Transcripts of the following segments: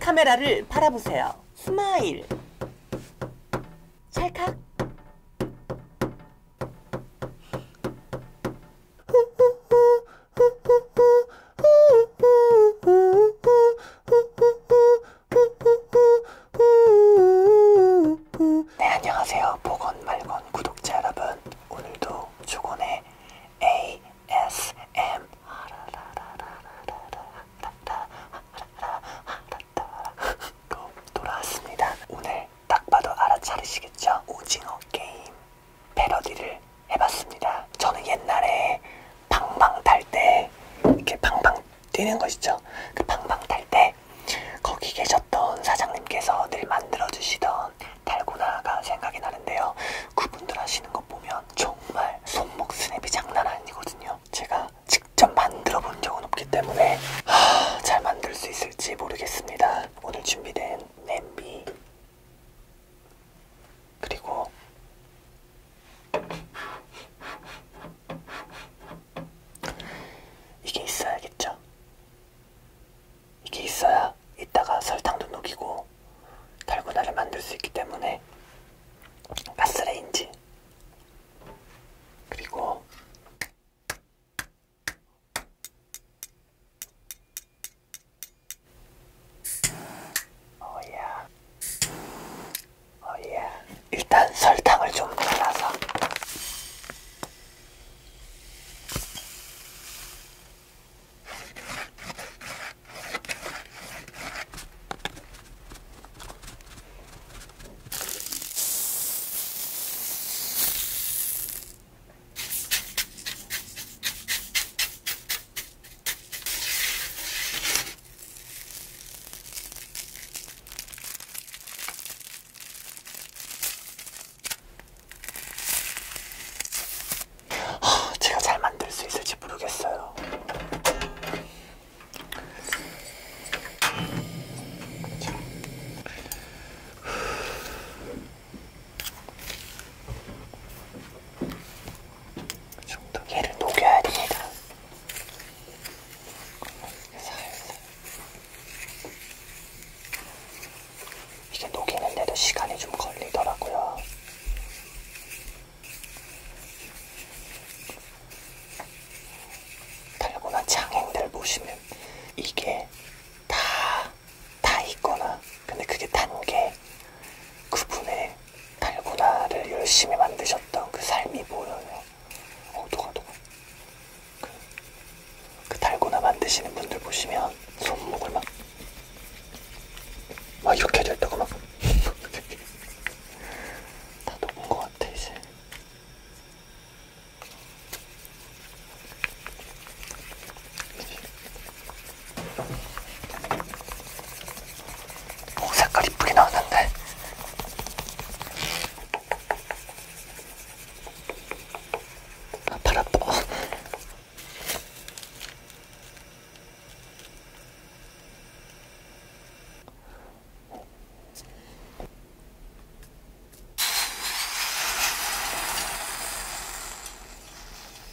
카메라를 바라보세요. 스마일. 찰칵. 뿌뿌 네 안녕하세요 보건 말건 구독자 여러분 오늘도 주곤의 ASM 로 돌아왔습니다 오늘 딱 봐도 알아차리시겠죠? 오징어 게임 패러디를 해봤습니다 저는 옛날에 방방 탈 때 이렇게 방방 뛰는 거 있죠? 그 방방 탈때 거기 계셨던 사장님께서 늘 만들어주시던 달고나가 생각이 나는데요. 그분들 하시는 거 보면 정말 손목 스냅이 장난 아니거든요. 제가 직접 만들어 본 적은 없기 때문에 하, 잘 만들 수 있을지 모르겠습니다. 오늘 준비된 냄비 그리고 이게 있어야겠죠? 이게 있어야 이따가 설탕도 녹이고 달고나를 만들 수 있기 때문에 가스레인지 그리고 어야 oh 어야 oh 일단 설탕을 좀 발라서 제가 잘 만들 수 있을지 모르겠어요. 좀더 얘를 녹여야 됩니다. 살살. 이제 녹이는데도 시간이 좀 걸리더라고요. 달고나 장인들 보시면 이게 다, 다 있거나, 근데 그게 단계, 그분의 달고나를 열심히 만드셨던 그 삶이 보여요. 어 녹아 녹아 그, 그 달고나 만드시는 분들 보시면 손목을 막, 막 이렇게 됐다고 막 다 녹은 것 같아 이제 어, 색깔 이쁘게 나왔는데 아, 팔 아파.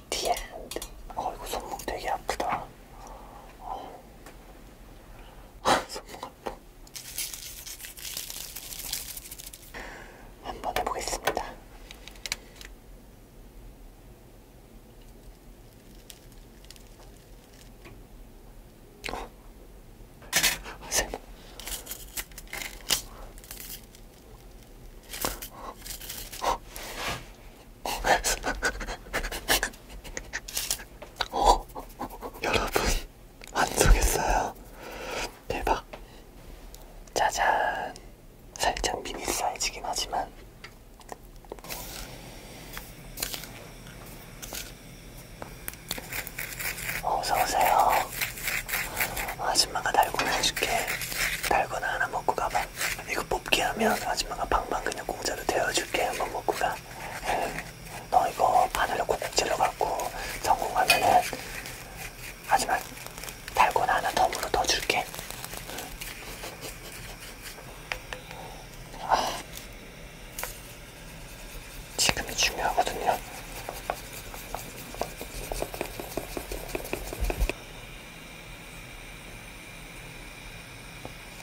디엔드. 어, 이거 손목 되게 아프다. 어. 손목 같고 한번 해보겠습니다. 어? 설마. 어? 어? 어? 어? 어, 여러분 안 속였어요. 대박. 짜잔. 살짝 미니 사이즈긴 하지만. 어, 어서오세요. 아줌마가 달고나 해줄게. 달고나 하나 먹고 가봐. 이거 뽑기 하면 아줌마가 방방 그냥 공짜로 데워줄게. 한번 먹고 가. 음, 너 이거 바늘로 콕콕 찔러갖고 성공하면은 하지만 달고나 하나 덤으로 더 줄게. 아, 지금이 중요하거든요.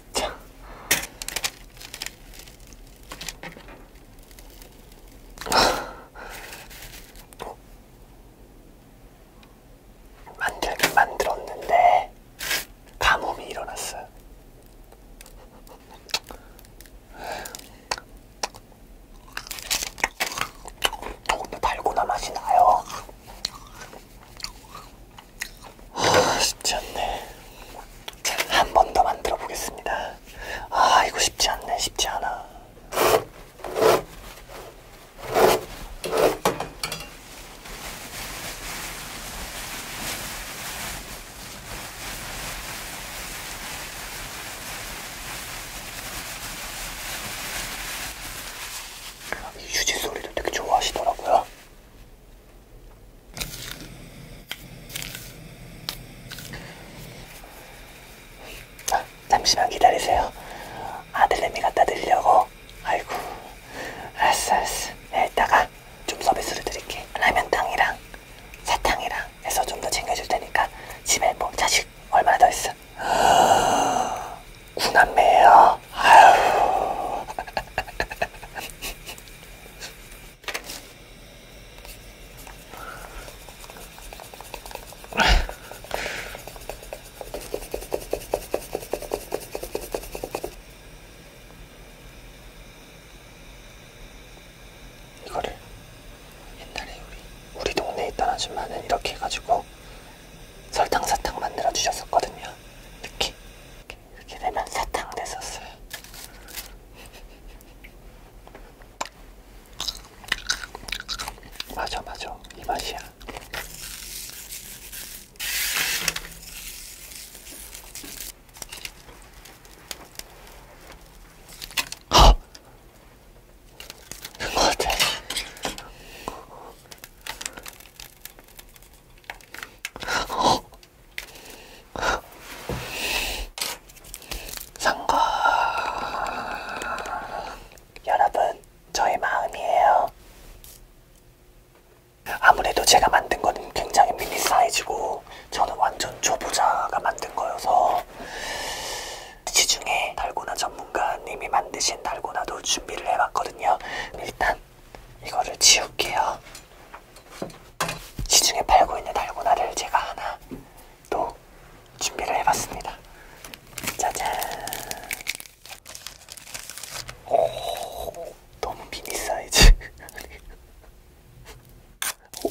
진짜. 만들긴 만들었는데 가뭄이 일어났어요. 더군다 달고나 맛이 나요. 아, 쉽지 않네. 한 번 더 만들어 보겠습니다. 아, 이거 쉽지 않네. 쉽지 않아. 아, 휴지 소리도 되게 좋아하시더라고요. 아, 잠시만 기다리세요. 아들내미 갖다 드리려고. 아이고, 알았어, 알았어. 네, 이따가 좀 서비스를 드릴게. 라면탕이랑 사탕이랑 해서 좀 더 챙겨줄 테니까 집에 뭐 자식 얼마나 더 있어? 구남매예요. 아유. 이거를 옛날에 우리 우리 동네에 있던 아줌마는 이렇게 해가지고 설탕 사탕 만들어 주셨었거든요. 이렇게 이렇게 되면 사탕 됐었어요. 맞아 맞아 이 맛이야. 아, 그거 같아. 성공! 여러분, 저의 마음이에요. 아무래도 제가 만든 거는 굉장히 미니 사이즈고 저는 완전 초보자가 만든 거여서 시중에 달고나 전문가님이 만드신 달고나도 준비를 해봤거든요. 일단 이거를 지울게요. 시중에 팔고 있는 달고나를 제가 하나 또 준비를 해봤습니다. 짜잔! 오, 너무 미니 사이즈. 오.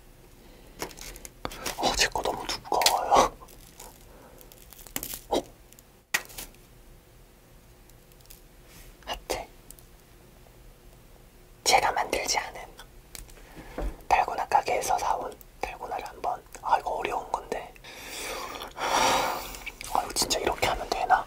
어, 제거 너무 두꺼워요. 어? 하트. 제가 만들지 않은 달고나 가게에서 사온 달고나를 한번. 아, 이거 어려운 건데. 아, 이거 진짜 이렇게 하면 되나?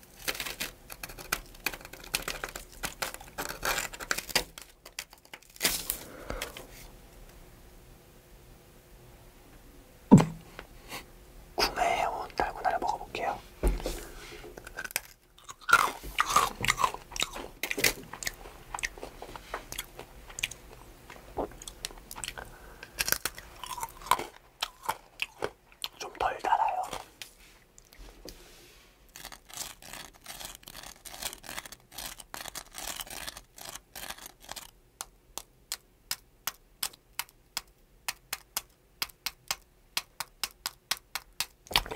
구매해온 달고나를 먹어볼게요. 좀덜 달아요.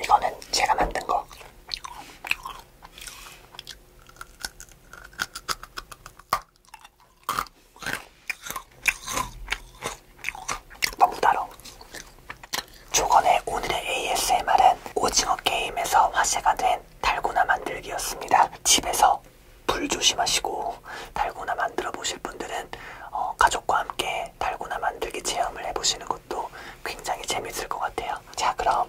이거는 제가 만든 거. 너무 달어. 조건의 오늘의 ASMR은 오징어 게임에서 화제가 된 달고나 만들기였습니다. 집에서 불 조심하시고 달고나 만들어 보실 분들은 어, 가족과 함께 달고나 만들기 체험을 해보시는 것도 굉장히 재밌을 것 같아요. 자, 그럼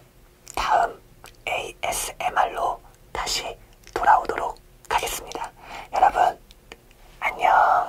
다음 ASMR로 다시 돌아오도록 하겠습니다. 여러분, 안녕!